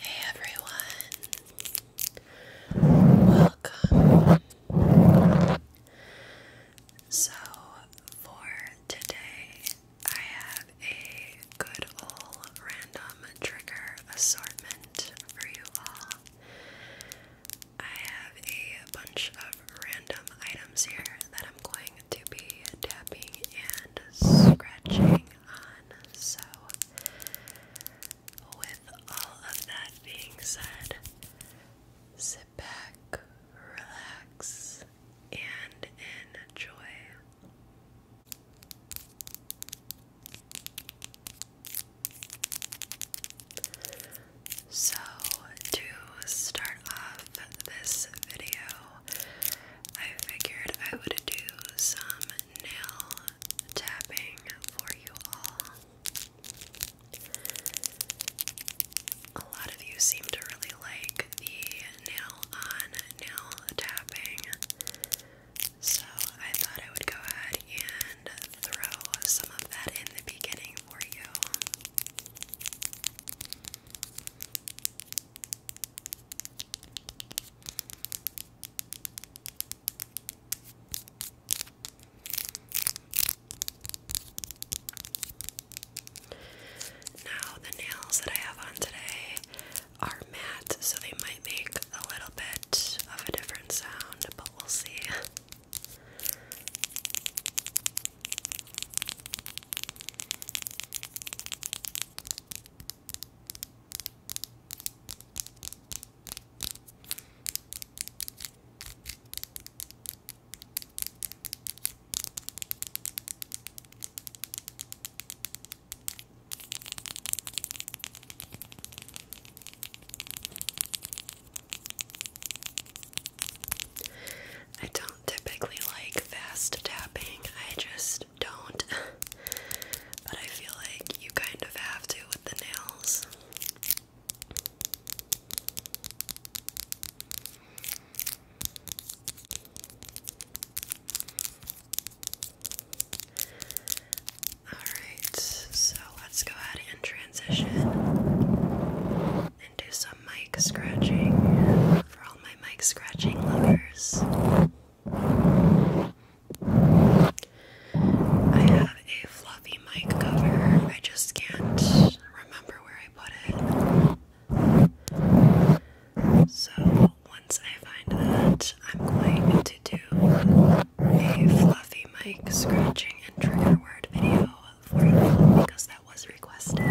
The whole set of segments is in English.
Hey everyone, welcome. So, for today, I have a good old random trigger assortment for you all. I have a bunch of random items here that I'm going to be tapping and scratching on. So, with all of that being said, back, relax, and enjoy. So, to start off this video, I figured I would do some nail tapping for you all a lot of you seem to really like the nail on nail tapping, so I thought I would go ahead and throw some of that in the beginning for you. Now, the nails that I have on today are matte, so they might make a little bit of a different sound, but we'll see. I don't typically like fast tapping, I just don't. but I feel like you kind of have to with the nails. Alright, so let's go ahead and transition and do some mic scratching for all my mic scratching lovers. I have a fluffy mic cover, I just can't remember where I put it. So once I find that, I'm going to do a fluffy mic scratching and trigger word video for you because that was requested.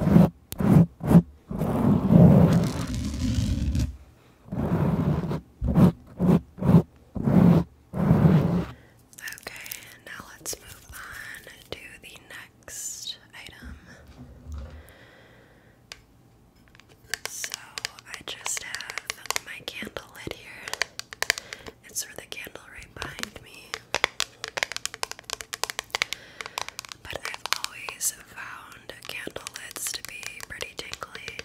Okay, now let's move on to the next item. So I just have my candle lit here. It's for the candle right behind me. But I've always found candle lids to be pretty tingly.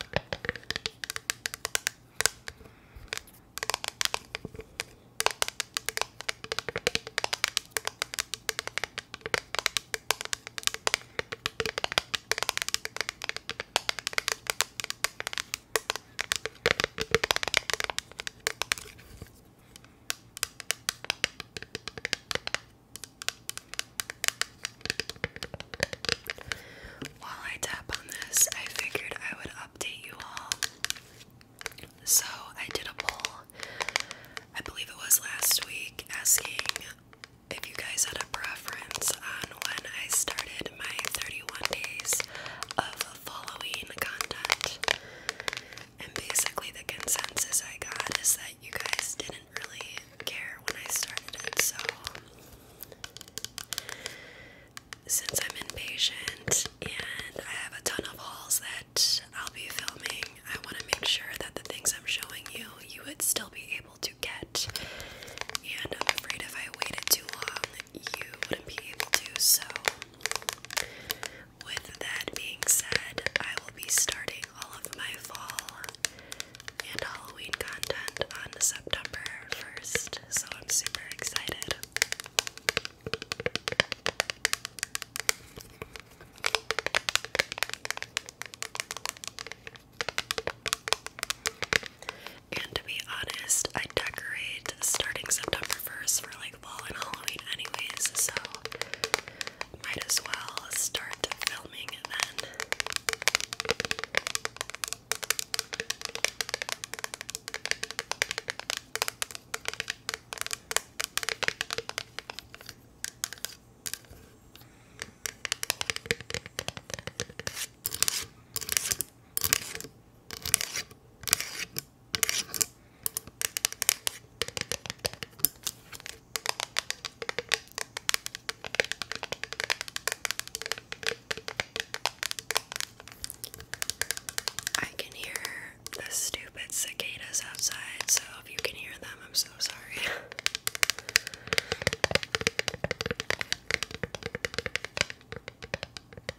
While I tap on this, I figured I would update you all. So I did a poll, I believe it was last week, asking if you guys had a preference on when I started my 31 days of following content. And basically, the consensus I got is that you guys didn't really care when I started it. So, since I'm impatient and I have a ton of hauls that I'll be filming, I want to make sure that the things I'm showing you, you would still be able to get. And I'm afraid if I waited too long, you wouldn't be able to. So, with that being said, I will be starting all of my fall and Halloween content on September 1st. So, I'm super excited. And to be honest, I decorate starting September 1st for like Fall and Halloween, anyways, so might as well start filming then. I can hear the stupid cicadas outside, so if you can hear them, I'm so sorry.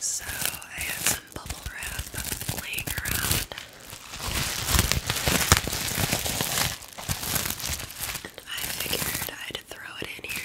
So I had some bubble wrap laying around, and I figured I'd throw it in here.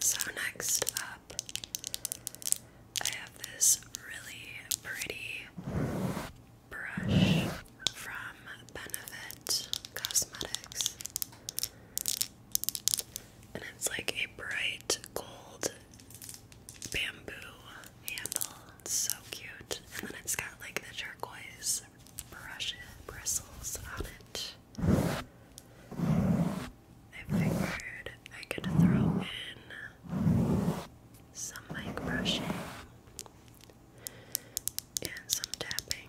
So, next up, I have this really pretty brush from Benefit Cosmetics. And it's like a bright gold bamboo handle so cute. And then it's got like the turquoise brush bristles on it. I figured I could throw in some mic brushing and some tapping.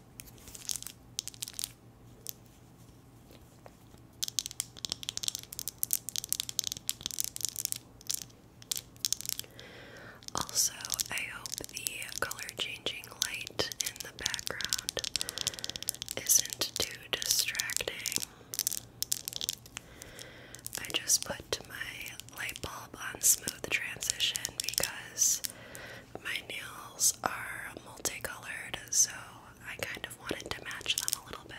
Also, I hope the color changing light in the background isn't too distracting. I just put my light bulb on smooth transition because my nails are multicolored, so I kind of wanted to match them a little bit.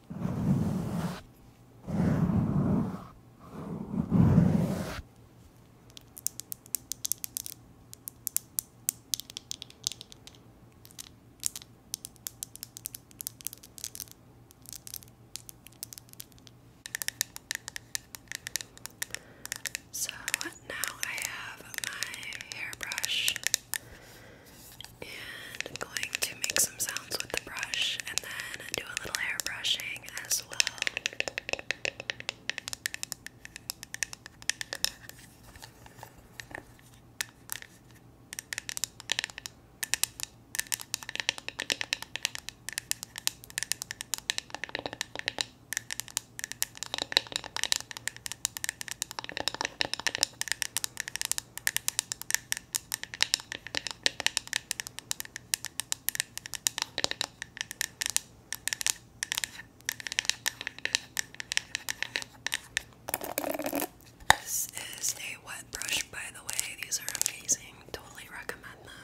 So now I have my hairbrush and I'm going to make some sounds with the brush and then do a little hair brushing as well. This is a wet brush, by the way. These are amazing. Totally recommend them.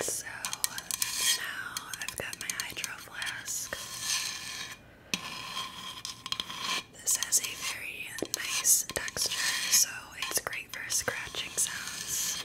So now I've got my hydro flask. This has a very nice texture, so it's great for scratching sounds.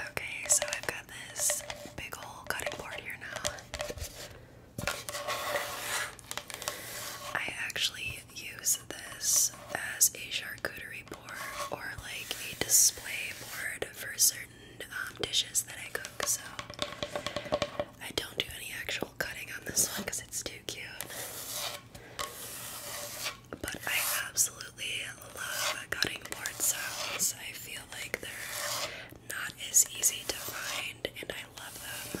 Okay, so I've got this big old cutting board here now. I actually use this as a charcuterie board or like a display board for certain um, dishes that I cook. So I don't do any actual cutting on this one because it's too cute. But I absolutely love cutting board sounds. I feel like they're not as easy to find and I love them.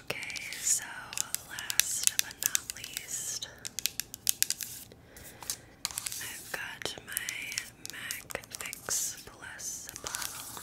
Okay, so last but not least, I've got my Mac Fix Plus bottle.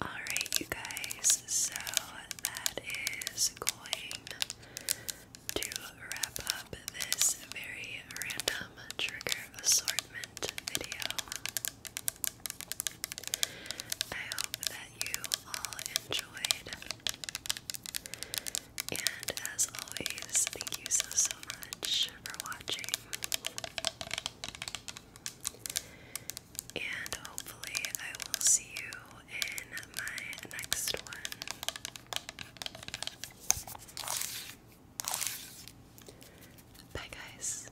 Alright, you guys, so that is going to wrap up this very random trigger assortment video. I hope that you all enjoyed. And as always, thank you so so much for watching. And hopefully, I will see you in my next one. Bye, guys.